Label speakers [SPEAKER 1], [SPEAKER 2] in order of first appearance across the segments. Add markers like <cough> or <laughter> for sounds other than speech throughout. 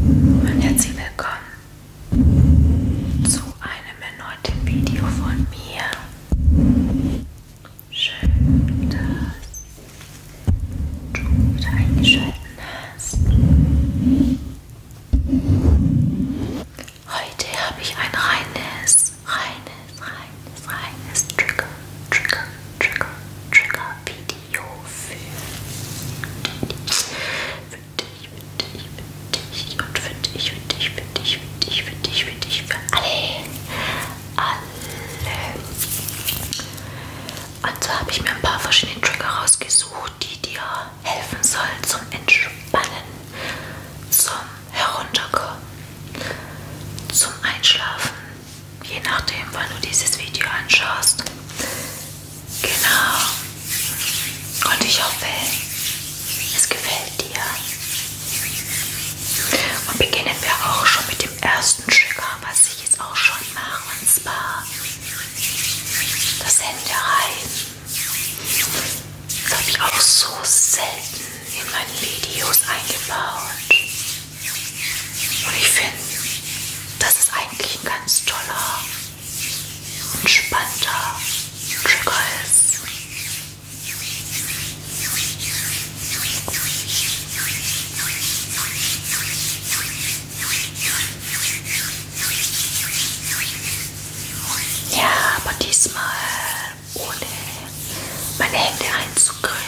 [SPEAKER 1] Und herzlich willkommen zu einem erneuten Video von mir. Schön, dass du wieder eingeschalten hast. Heute habe ich ein reines, reines, reines, reines Trigger, Trigger, Trigger, Trigger Video. Jofi. Für dich, für dich, für dich und für dich, für dich, für dich, für dich, für dich, für dich, für alle. Alle. Und so habe ich mir ein paar verschiedene Trigger rausgesucht, die dir helfen sollen zum Entspannen, zum Herunterkommen, zum Einschlafen, je nachdem, wann du dieses Video anschaust. Genau. Und ich hoffe, es gefällt dir. Und beginnen wir auch schon mit dem ersten Trigger, was ich jetzt auch schon mache, und zwar das Hände reiben. Das habe ich auch so selten in meinen Videos eingebaut. Und ich finde, das ist eigentlich ein ganz toller, entspannter Trigger ist. Ja, aber diesmal ohne meine Hände einzucremen.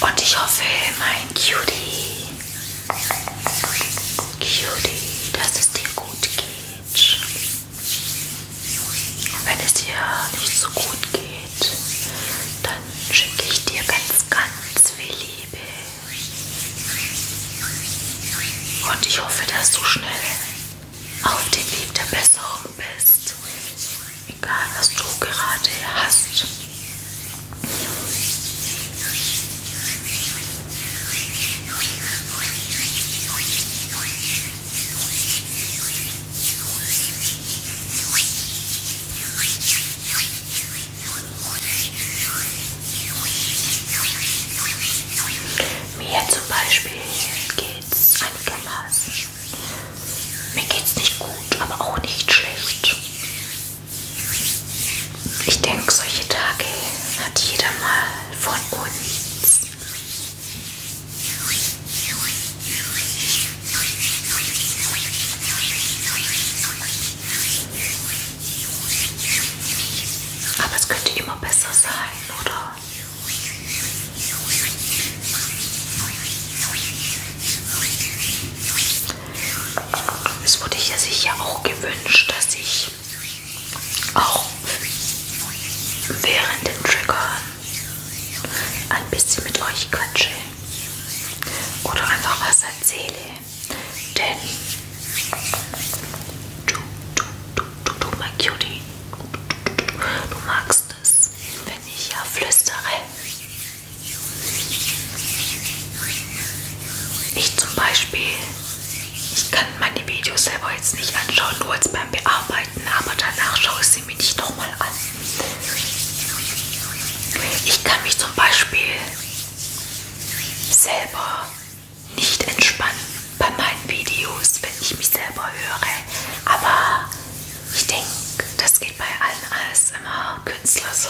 [SPEAKER 1] Und ich hoffe, mein Cutie, Cutie, dass es dir gut geht. Und wenn es dir nicht so gut geht, dann schicke ich dir ganz, ganz viel Liebe. Und ich hoffe, dass du schnell auf dem Weg der Besserung bist. Egal, was du gerade hast. Mir zum Beispiel geht's einigermaßen. Mir geht's nicht gut, aber auch nicht schlecht. Ich denke, solche Tage hat jeder mal von uns. Aber es könnte immer besser sein, oder? Es wurde ja sich ja auch gewünscht, dass ich auch während den Triggern ein bisschen mit euch quatsche oder einfach was erzähle. Denn du, du, du, du, du, mein Cutie, du magst es, wenn ich ja flüstere. Ich zum Beispiel, ich kann meine Videos selber jetzt nicht anschauen, nur jetzt beim Bearbeiten, aber danach schaue ich sie mir nicht nochmal an. Ich kann mich zum Beispiel selber nicht entspannen bei meinen Videos, wenn ich mich selber höre. Aber ich denke, das geht bei allen alles immer Künstler so.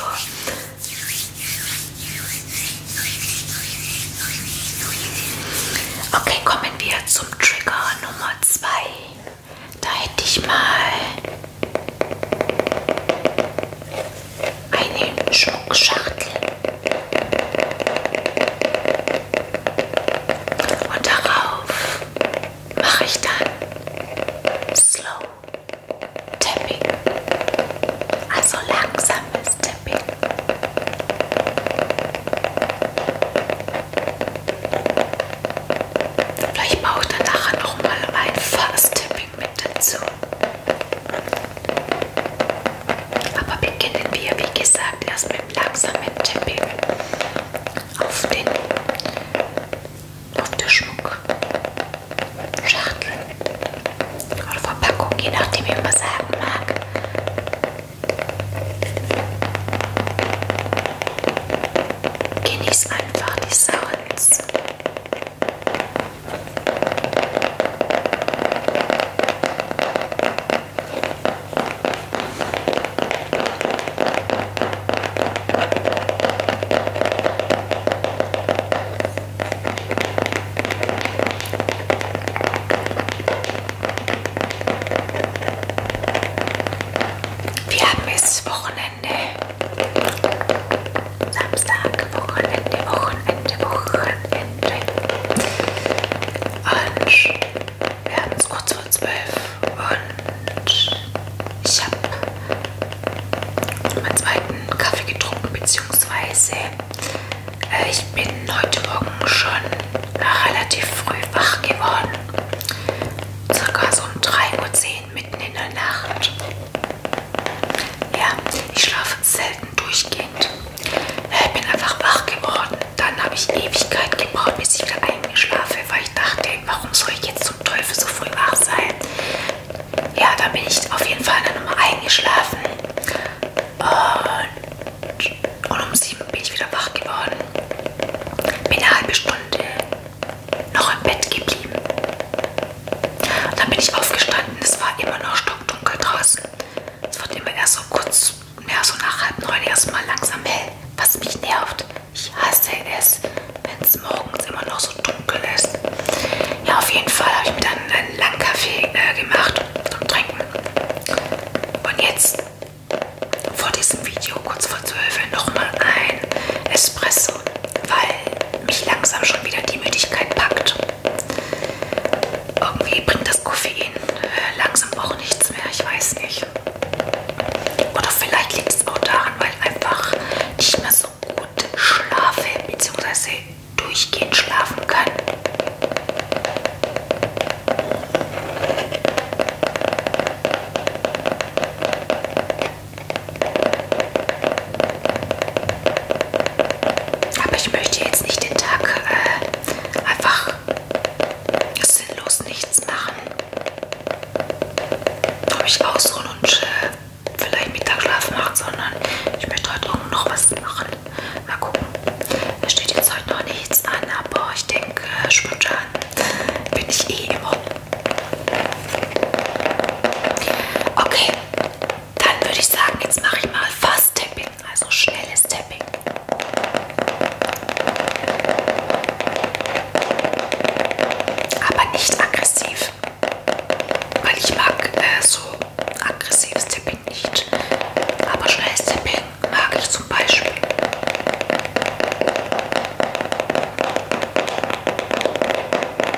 [SPEAKER 1] Okay, kommen wir zum Trigger Nummer 2. Da hätte ich mal eine Schmuckschachtel und darauf mache ich dann Slow Tapping, also langsames Tapping. Vielleicht brauche ich dann nachher nochmal ein Fast-Tapping. Pink mit dazu. Aber beginnen wir, wie gesagt, erst mit langsamen Tipping auf den auf der Schmuckschachtel oder Verpackung, je nachdem, wie man sagen mag. Genieß einfach die Sounds. Wir haben jetzt Wochenende. Samstag, Wochenende, Wochenende, Wochenende. Und wir haben es kurz vor zwölf und ich habe meinen zweiten Kaffee getrunken, beziehungsweise äh, ich bin heute Morgen schon relativ früh wach geworden. Circa so um 3.10 Uhr mitten in der Nacht. Ja, ich schlafe selten durchgehend. Ich äh, bin einfach wach geworden. Dann habe ich Ewigkeit gebraucht, bis ich wieder eingeschlafen weil ich dachte, warum soll ich jetzt zum Teufel so früh wach sein? Ja, da bin ich auf jeden Fall dann nochmal eingeschlafen. Und, und um sieben bin ich wieder wach geworden. Bin eine halbe Stunde noch im Bett geblieben. Dann bin ich aufgestanden, es war immer noch stockdunkel draußen. Es wird immer erst so kurz, mehr so nach halb neun erstmal langsam hell, was mich nervt. Ich hasse es, wenn es morgens immer noch so dunkel ist. Ja, auf jeden Fall habe ich mir dann einen langen Kaffee äh, gemacht zum Trinken. Und jetzt vor diesem Video, kurz vor zwölf, nochmal ein Espresso, weil mich langsam schon wieder die Müdigkeit packt. Irgendwie bringt das Koffein äh, langsam auch nichts mehr, ich weiß nicht. Oder vielleicht liegt es auch daran, weil ich einfach nicht mehr so gut schlafe bzw. durchgehend schlafen kann. Aber ich möchte jetzt nicht den Tag äh, einfach sinnlos nichts machen. Ob ich ausruhen und äh, vielleicht Mittagsschlaf machen, sondern ich möchte heute auch noch was machen. Mal gucken. Da steht jetzt heute noch nichts an, aber ich denke, äh, spontan bin ich eh immer. Okay, dann würde ich sagen, jetzt mache ich mal Fast Tapping, also schnelles Tapping. Aber nicht aggressiv, weil ich mag äh, so aggressives Tapping nicht. Aber schnelles Tapping mag ich zum Beispiel.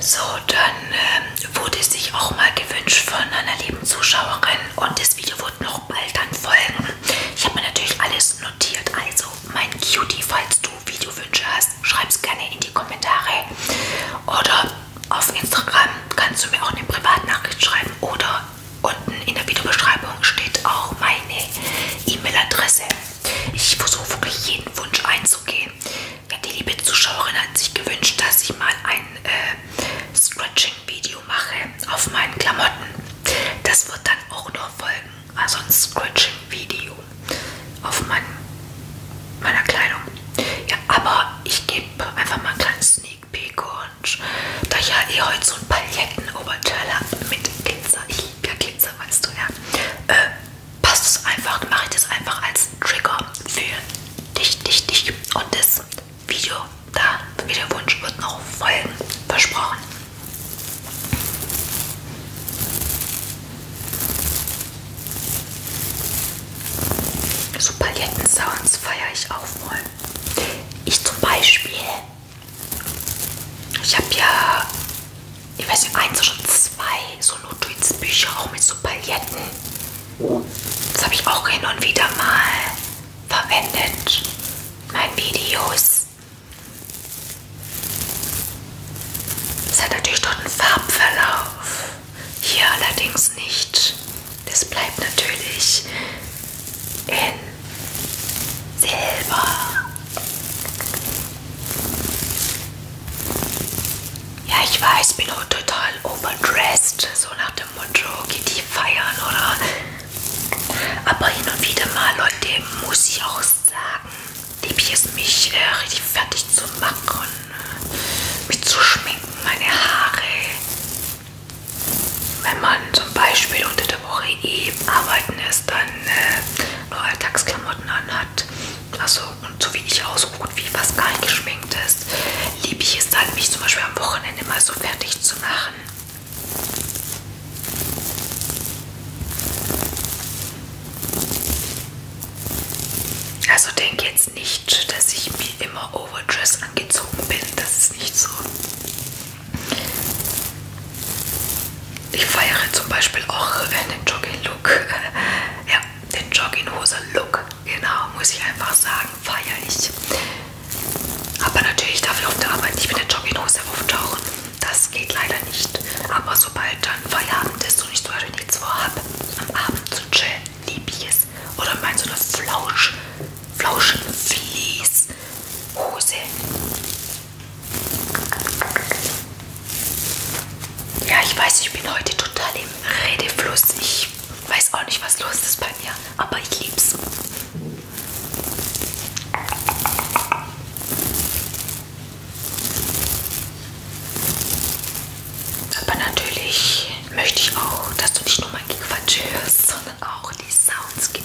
[SPEAKER 1] So, dann ähm, wurde es sich auch mal gewünscht von einer lieben Zuschauerin und das Video wird noch bald dann folgen. Ich habe mir natürlich alles notiert, also mein Cutie, falls du Videowünsche hast, schreib es gerne in die Kommentare oder auf Instagram kannst du mir auch eine Privatnachricht schreiben oder unten in der Videobeschreibung steht auch meine E-Mail-Adresse. Ich versuche wirklich jeden Wunsch einzugehen. Ja, die liebe Zuschauerin hat sich gewünscht, dass ich mal ein äh, Scratching-Video mache auf meinen Klamotten. Das wird dann auch noch folgen. Also ein Scratching-Video auf mein, meiner Kleidung. Ja, aber ich gebe einfach mal einen kleinen Sneak Peek und da ich ja eh heute so ein Paletten-Oberteil habe mit Glitzer, ich liebe ja Glitzer, weißt du ja, äh, passt es einfach, mache ich das einfach als Trigger für dich, dich, dich. Und das Video, da Videowunsch wird noch folgen, versprochen. So Palettensounds feiere ich auch voll. Ich zum Beispiel, ich habe ja ich weiß nicht, eins oder zwei so Ludwigs Bücher, auch mit so Pailletten. Das habe ich auch hin und wieder mal verwendet in meinen Videos. Es hat natürlich dort einen Farbverlauf. Hier allerdings nicht. Das bleibt natürlich in Silber. Ja, ich weiß, bin auch total overdressed, so nach dem Motto, geht die feiern oder. Aber hin und wieder mal, Leute, muss ich auch sagen, liebe ich es mich äh, richtig fertig zu machen, mich zu schminken, meine Haare. Wenn man zum Beispiel unter der Woche eben eh arbeiten ist, dann äh, nur Alltagsklamotten anhat, hat. Also, und so wie ich auch, so gut wie fast gar nicht geschminkt ist, liebe ich es dann, mich zum Beispiel am Wochenende mal so fertig zu machen. Also denke jetzt nicht, dass ich wie immer overdress angezogen bin. Das ist nicht so. Ich feiere zum Beispiel auch einen Jogging-Look. <laughs> Ja, den Jogginghose-Look, genau, muss ich einfach sagen, feier ich. Aber natürlich darf ich auf der Arbeit nicht mit der Jogginghose auftauchen. Das geht leider nicht. Aber sobald dann Feierabend ist und ich zum Beispiel nichts vorhabe, am Abend zu chillen, lieb ich es. Oder meinst du eine Flausch, Flauschen, Fließhose? Ja, ich weiß, ich bin heute total im Redefluss. Ich weiß auch nicht, was los ist bei mir, aber ich lieb's. Aber natürlich möchte ich auch, dass du nicht nur mein Gequatsch hörst, sondern auch die Sounds genießt.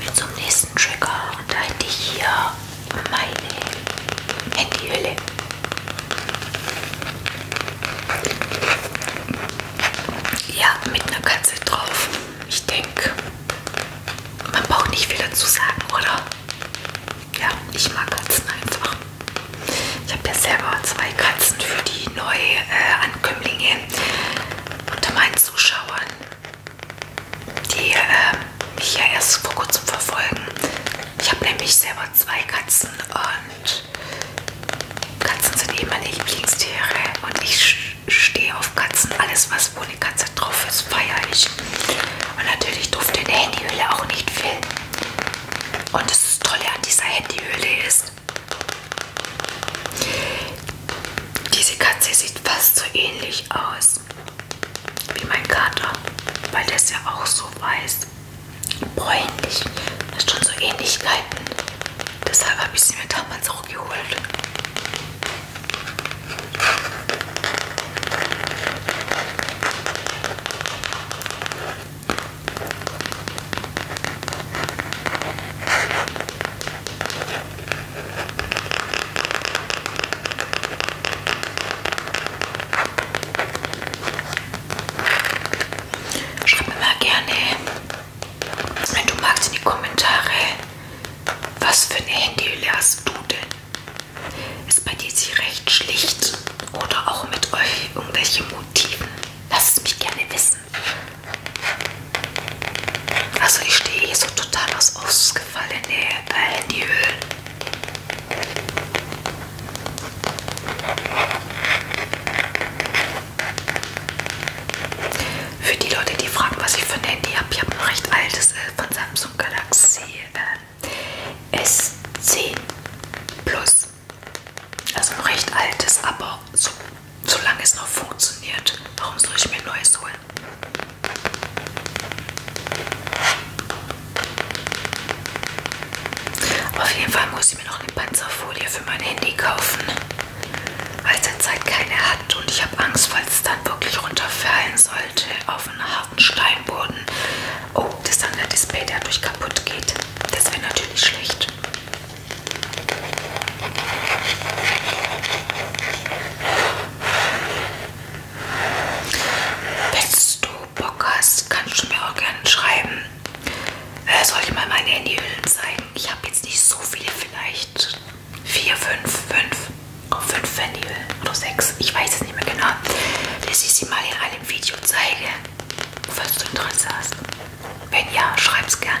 [SPEAKER 1] Wir zum nächsten Trigger und da hätte ich hier meine Handyhülle. Ja, mit einer Katze drauf. Ich denke, man braucht nicht viel dazu sagen, oder? Ja, ich mag Katzen einfach. Ich habe ja selber zwei Katzen für die Neuankömmlinge äh, unter meinen Zuschauern, die äh, mich ja erst vor kurzem verfolgen. Ich habe nämlich selber zwei Katzen und Katzen sind eh meine Lieblingstiere und ich stehe auf Katzen. Alles, was wo eine Katze drauf ist, feiere ich. Und natürlich durfte in der Handyhöhle auch nicht fehlen. Und das Tolle an dieser Handyhöhle ist, ist. Diese Katze sieht fast so ähnlich aus wie mein Kater, weil der ist ja auch so weiß, bräunlich. Das sind schon so Ähnlichkeiten. Deshalb habe ich sie mir damals auch geholt. Schreib mir mal gerne, wenn du magst, in die Kommentare, was für eine Handyhülle hast du denn? Ist bei dir sie recht schlicht oder auch mit euch irgendwelche Motiven? Lasst es mich gerne wissen essen. Also ich stehe hier so total aus ausgefallene äh, Handyhöhlen. Für die Leute, die fragen, was ich für ein Handy habe, ich habe ein recht altes äh, von Samsung Galaxy äh, S10 Plus. Also ein recht altes, aber so, solange es noch funktioniert, warum soll ich mir ein neues holen? Aber auf jeden Fall muss ich mir noch eine Panzerfolie für mein Handy kaufen, weil zurzeit keine hat und ich habe Angst, falls es dann wirklich runterfallen sollte auf einen harten Steinboden. Oh, das andere Display dadurch kaputt geht. Das wäre natürlich schlecht. Wenn du Bock hast, kannst du mir auch gerne schreiben. Äh, soll ich mal meine Handyhüllen zeigen? Ich habe jetzt nicht so viele, vielleicht vier, fünf, fünf, fünf Handyhüllen oder sechs. Ich weiß es nicht mehr genau, dass ich sie mal in einem Video zeige, falls du Interesse hast. Wenn ja, schreib's gerne.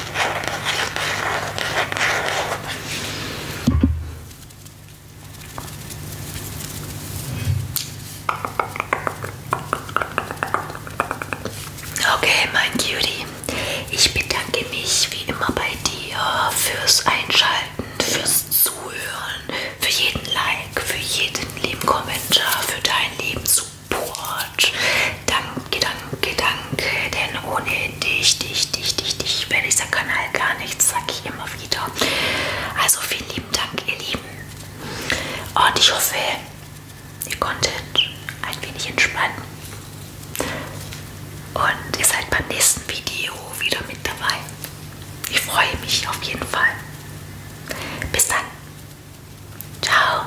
[SPEAKER 1] Okay, mein Cutie, ich bedanke mich wie immer bei dir fürs Einschalten, fürs Zuhören, für jeden Like, für jeden lieben Kommentar, für deinen lieben Support. Support. Danke, danke, danke, denn ohne dich, dich, dich, dich, dich wäre dieser Kanal gar nichts, sage ich immer wieder. Also vielen lieben Dank, ihr Lieben. Und ich hoffe, ihr konntet ein wenig entspannen. Und ihr seid beim nächsten Video wieder mit dabei. Ich freue mich auf jeden Fall. Bis dann. Ciao.